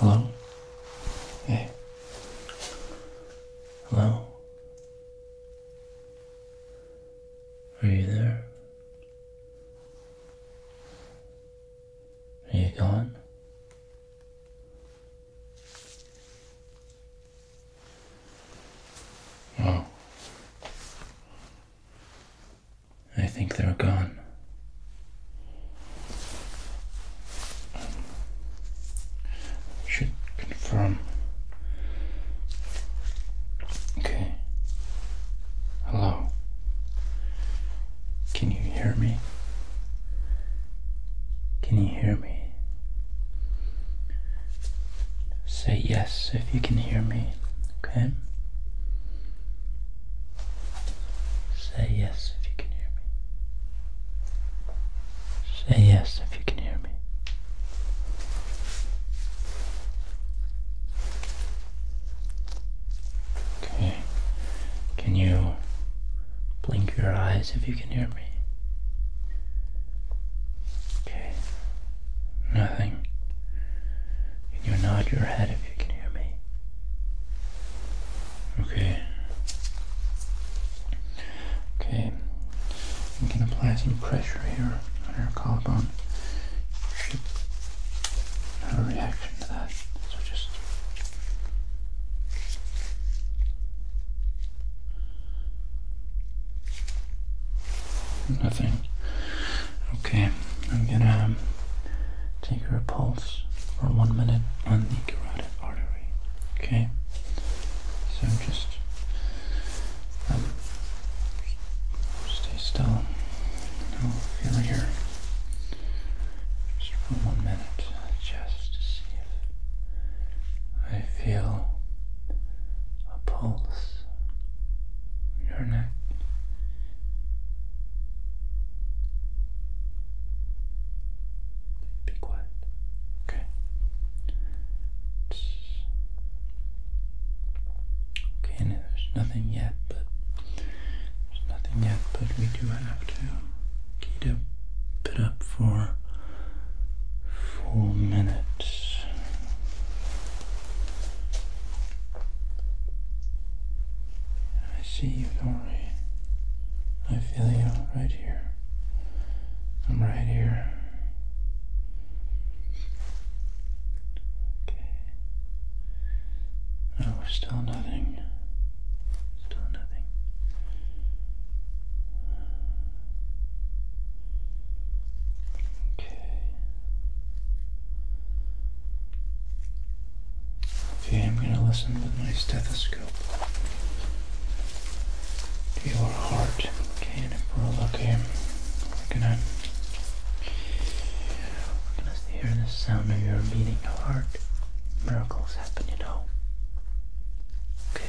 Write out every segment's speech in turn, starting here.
Hello? Hey. Hello? Are you there? Are you gone? Oh. I think they're gone. Should confirm. Okay. Hello. Can you hear me? Can you hear me? Say yes if you can hear me, okay? Say yes if you can hear me. Say yes if you can hear me. Okay. Can you Blink your eyes if you can hear me. Okay. Nothing. Can you nod your head if you can hear me? Okay. Okay. You can apply some pressure here on your collarbone. should have a reaction to that. So just Nothing. Okay, I'm gonna um, take your pulse for one minute on the carotid artery. Okay, so just um, stay still. No feeling here. Just one minute, just to see if I feel a pulse in your neck. Be quiet. Okay. okay, no, there's nothing yet, but there's nothing yet, but we do have to. Keep it up for four minutes. I see you, do I feel you right here. I'm right here. Okay. Oh, still nothing. Still nothing. Okay. Okay, I'm going to listen with my stethoscope to your heart. Okay, and we're okay, we're gonna we're gonna hear the sound of your beating heart. Miracles happen, you know. Okay.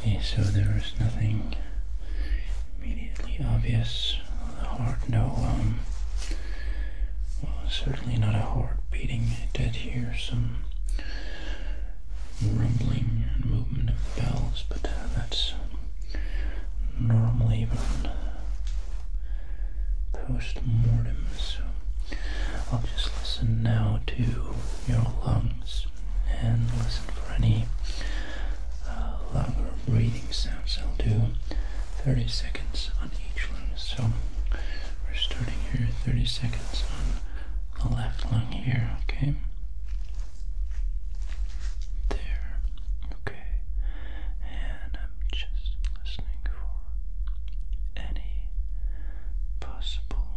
Okay, so there is nothing immediately obvious. The heart, no, um, well, certainly not a heart beating. I did hear some rumbling and movement of the bells, but uh, that's normally even post-mortem. So I'll just listen now to your lungs and listen for any uh, breathing sounds. I'll do 30 seconds on each lung. So we're starting here 30 seconds on the left lung here, okay? There. Okay and I'm just listening for any possible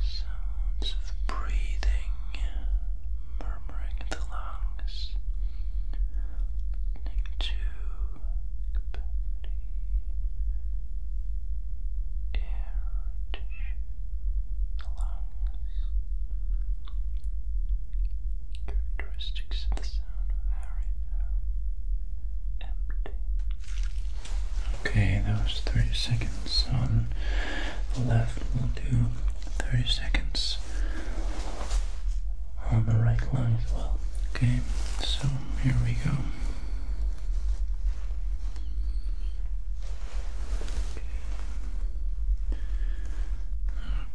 sounds of breathing, murmuring in the lungs, listening to air tissue, the lungs. Okay, those was 30 seconds on the left. We'll do 30 seconds on the right line as well. Okay, so here we go.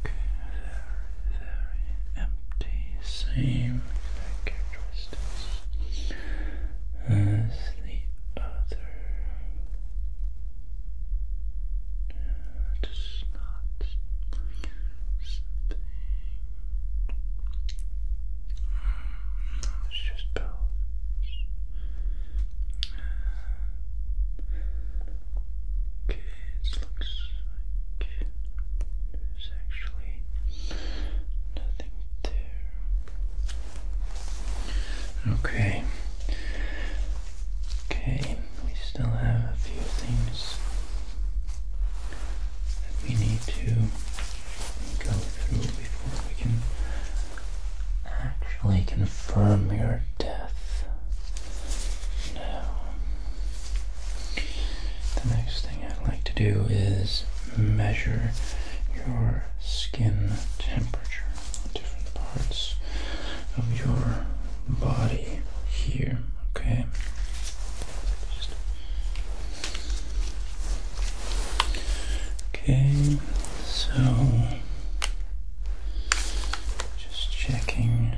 Okay, very, very empty, same characteristics as the other. Uh, not It's just both. Okay, it looks like there's actually nothing there. Okay. Okay, we still have a few things that we need to go through before we can actually confirm your death the next thing I'd like to do is measure your skin temperature different parts of your body here, okay? okay, so just checking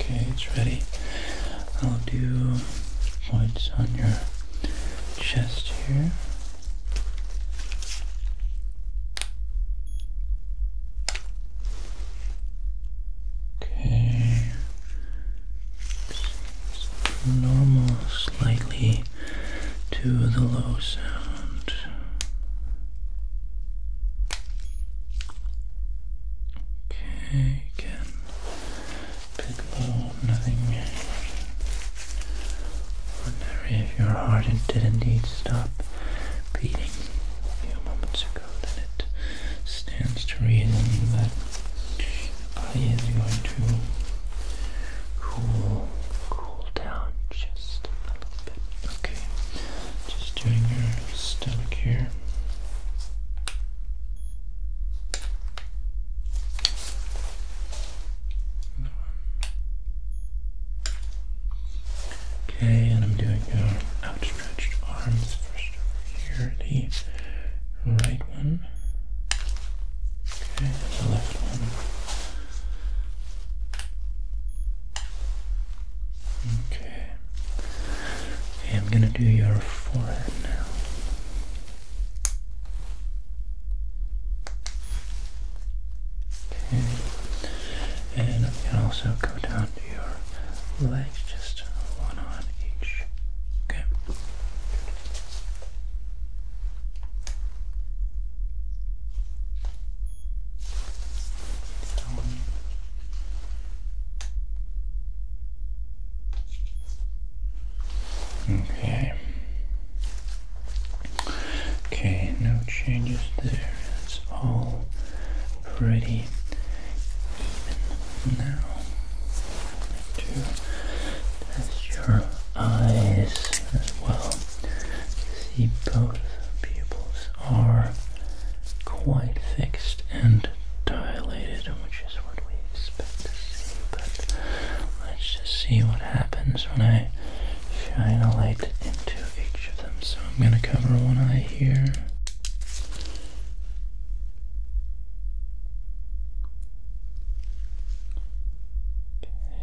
Okay, it's ready. I'll do points on your chest here. Okay, normal, slightly to the low sound. Okay, again. Pick low, nothing ordinary. If your heart it did indeed stop beating a few moments ago, then it stands to reason that the body going to cool, cool down just just Okay, just doing your stomach here. Okay, and I'm doing your outstretched arms first over here, the right one. Okay, and the left one. Okay. I'm gonna do your forehead now. Okay. And i also go down to your legs, just one on each. Okay. Okay. Okay, no changes there. It's all pretty even now. To test your eyes as well see both pupils are quite fixed and dilated, which is what we expect to see. But let's just see what happens when I shine a light into each of them. So I'm going to cover one eye here.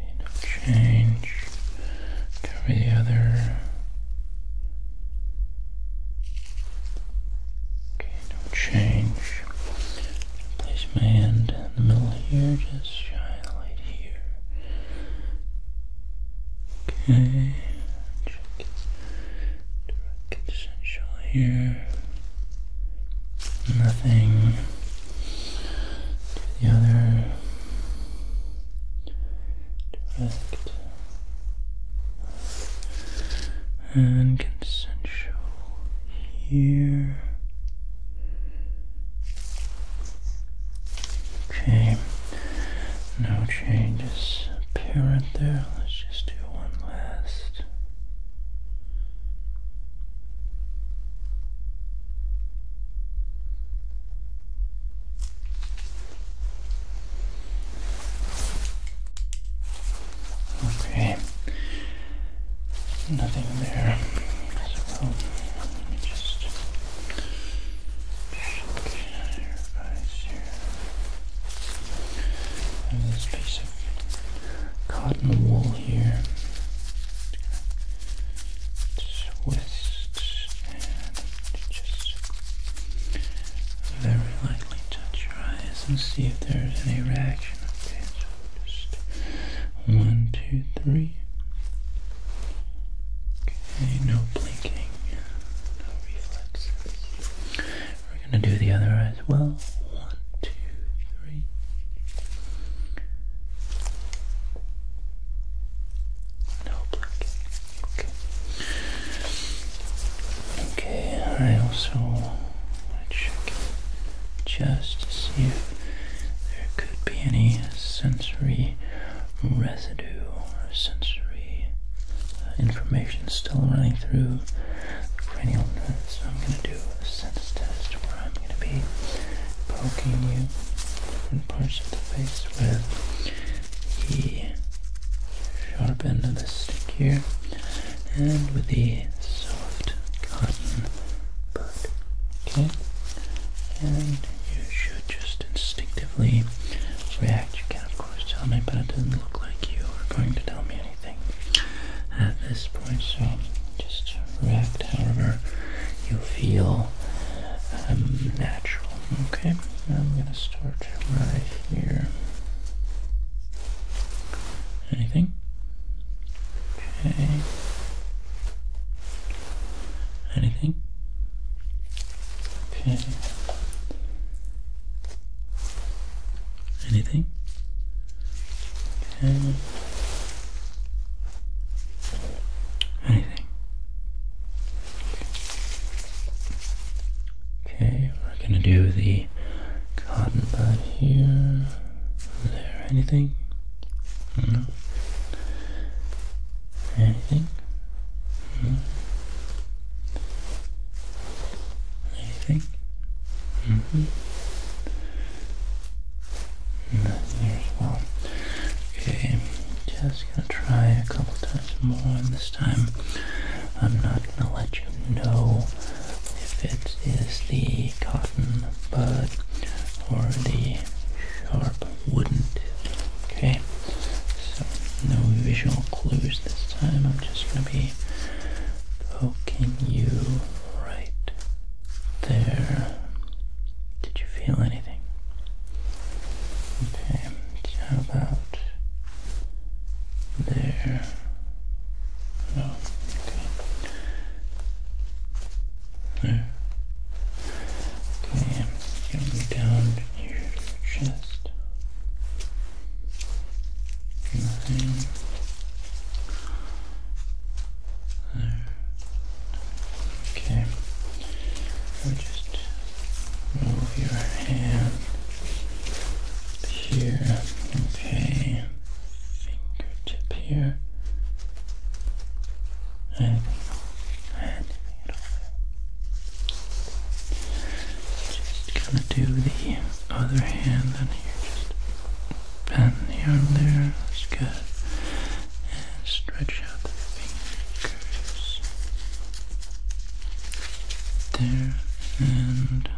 Okay, no change. Cover the other. Okay, no change. Place my hand in the middle here, just shine a light here. Okay, direct essential here. Nothing the other direct and consensual here. Okay, no changes apparent there. Let's just do one last. Okay, nothing there. So let me just check your eyes here. And this piece of cotton wool here twist and just very lightly touch your eyes and see if there's any reaction. Okay, so just one, two, three. Okay, no blinking, no reflexes. We're gonna do the other eyes as well. One, two, no black. Okay. Okay, I also want to check just to see if there could be any sensory residue or sensory uh, information still running through the cranial nerves. So I'm going to do sensitive to where I'm going to be poking you in parts of the face with the sharp end of the stick here and with the soft cotton bud. Okay? And you should just instinctively react. You can, of course, tell me, but it doesn't look like you are going to tell me anything at this point, so just react however you feel um, natural. Okay, I'm gonna start right here. Anything? Okay. Anything? Okay. Anything? Okay. Anything. Okay, we're gonna do the cotton bud here. Is there anything? Anything? Anything? Mm-hmm here as well. Okay, just gonna try a couple times more, and this time I'm not gonna let you know if it is the cotton bud or the sharp wooden Okay, so no visual clues this time. I'm just gonna be poking you right there. Did you feel anything? Okay, how about there? No, oh, okay. There. Okay, going down near your chest. Nothing. Okay. just move your hand here. Okay. Fingertip here. Anything, Just gonna do the other hand on here. Just pen here and there. That's good. And stretch out the fingers. There and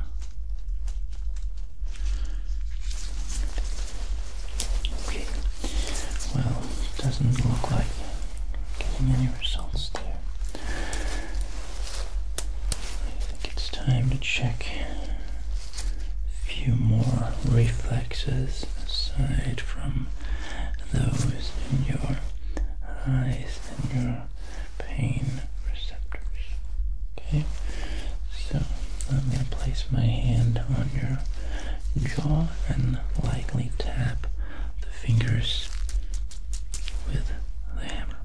okay. Well, it doesn't look like getting any results there it's time to check a few more reflexes aside from those in your eyes and your pain receptors. Okay, so I'm going to place my hand on your jaw and lightly tap the fingers with the hammer.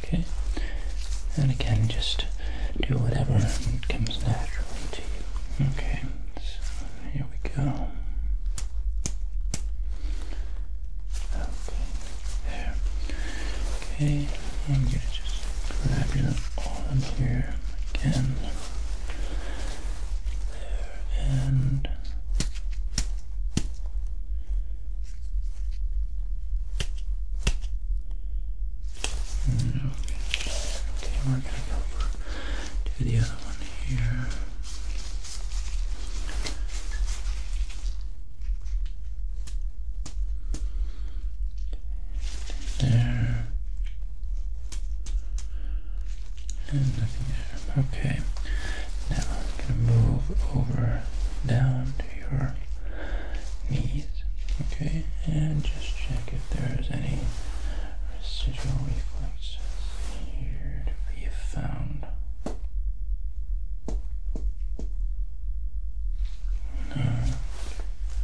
Okay, and again, just do whatever comes naturally to you. Okay, so here we go. Okay, there. Okay, I'm gonna just grab your arm here again. There and. Okay, okay we're gonna go over to the other one here. There and there. Okay. Now I'm gonna move over down your knees. Okay, and just check if there's any residual reflexes here to be found. No,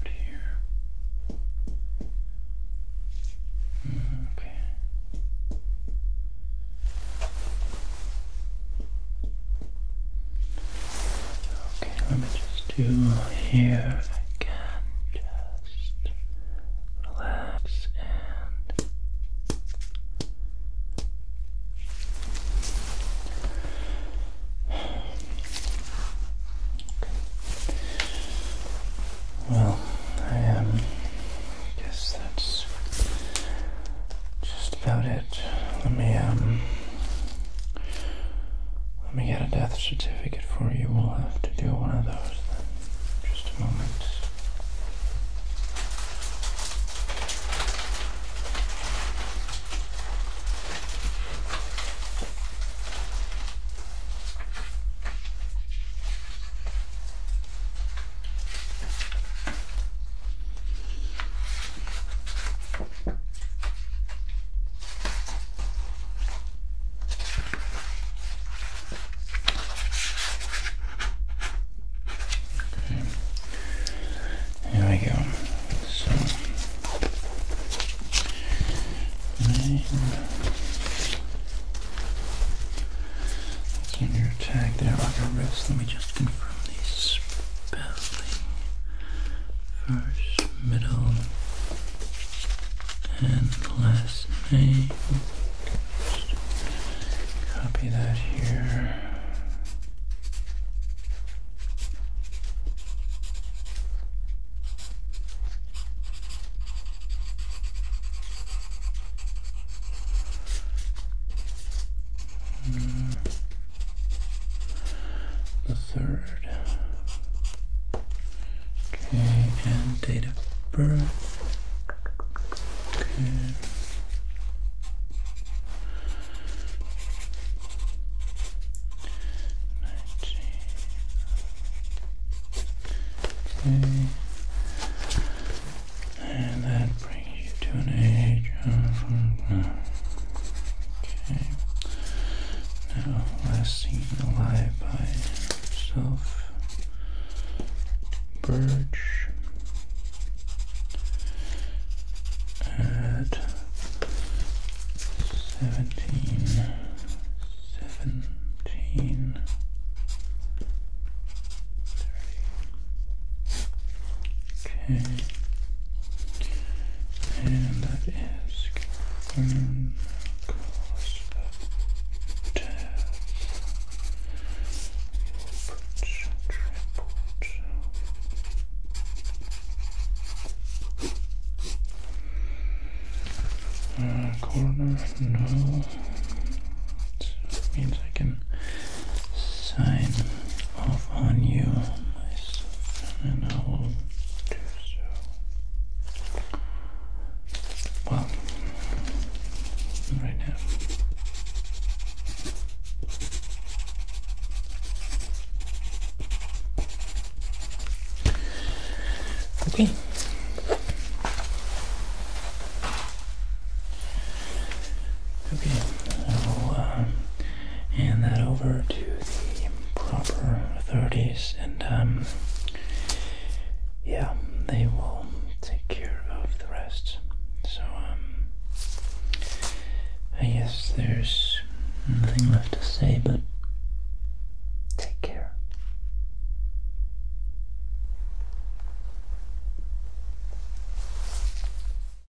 here. Mm, okay. Okay, let me just do here again. Just relax and okay. Well, I guess that's just about it. Let me um. Let me get a death certificate for you. We'll have to do one of those Just a moment. Okay. There we go. So nine. That's there on your wrist. Let me just confirm the first, middle, and last name. copy that here. Mm the third. Okay, and date of birth. Okay. Nineteen. Okay. And that brings to an age of okay. Now last seen alive by himself. Birch at seventeen seventeen thirty Okay. And that is going to cause a death. triple corner, no. means I can sign off on you myself, and I will do so. Well, right now. Okay. Okay, I will uh, and that over to the proper authorities, and um, yeah, they will take care of the rest. So, um, I guess there's nothing left to say but take care.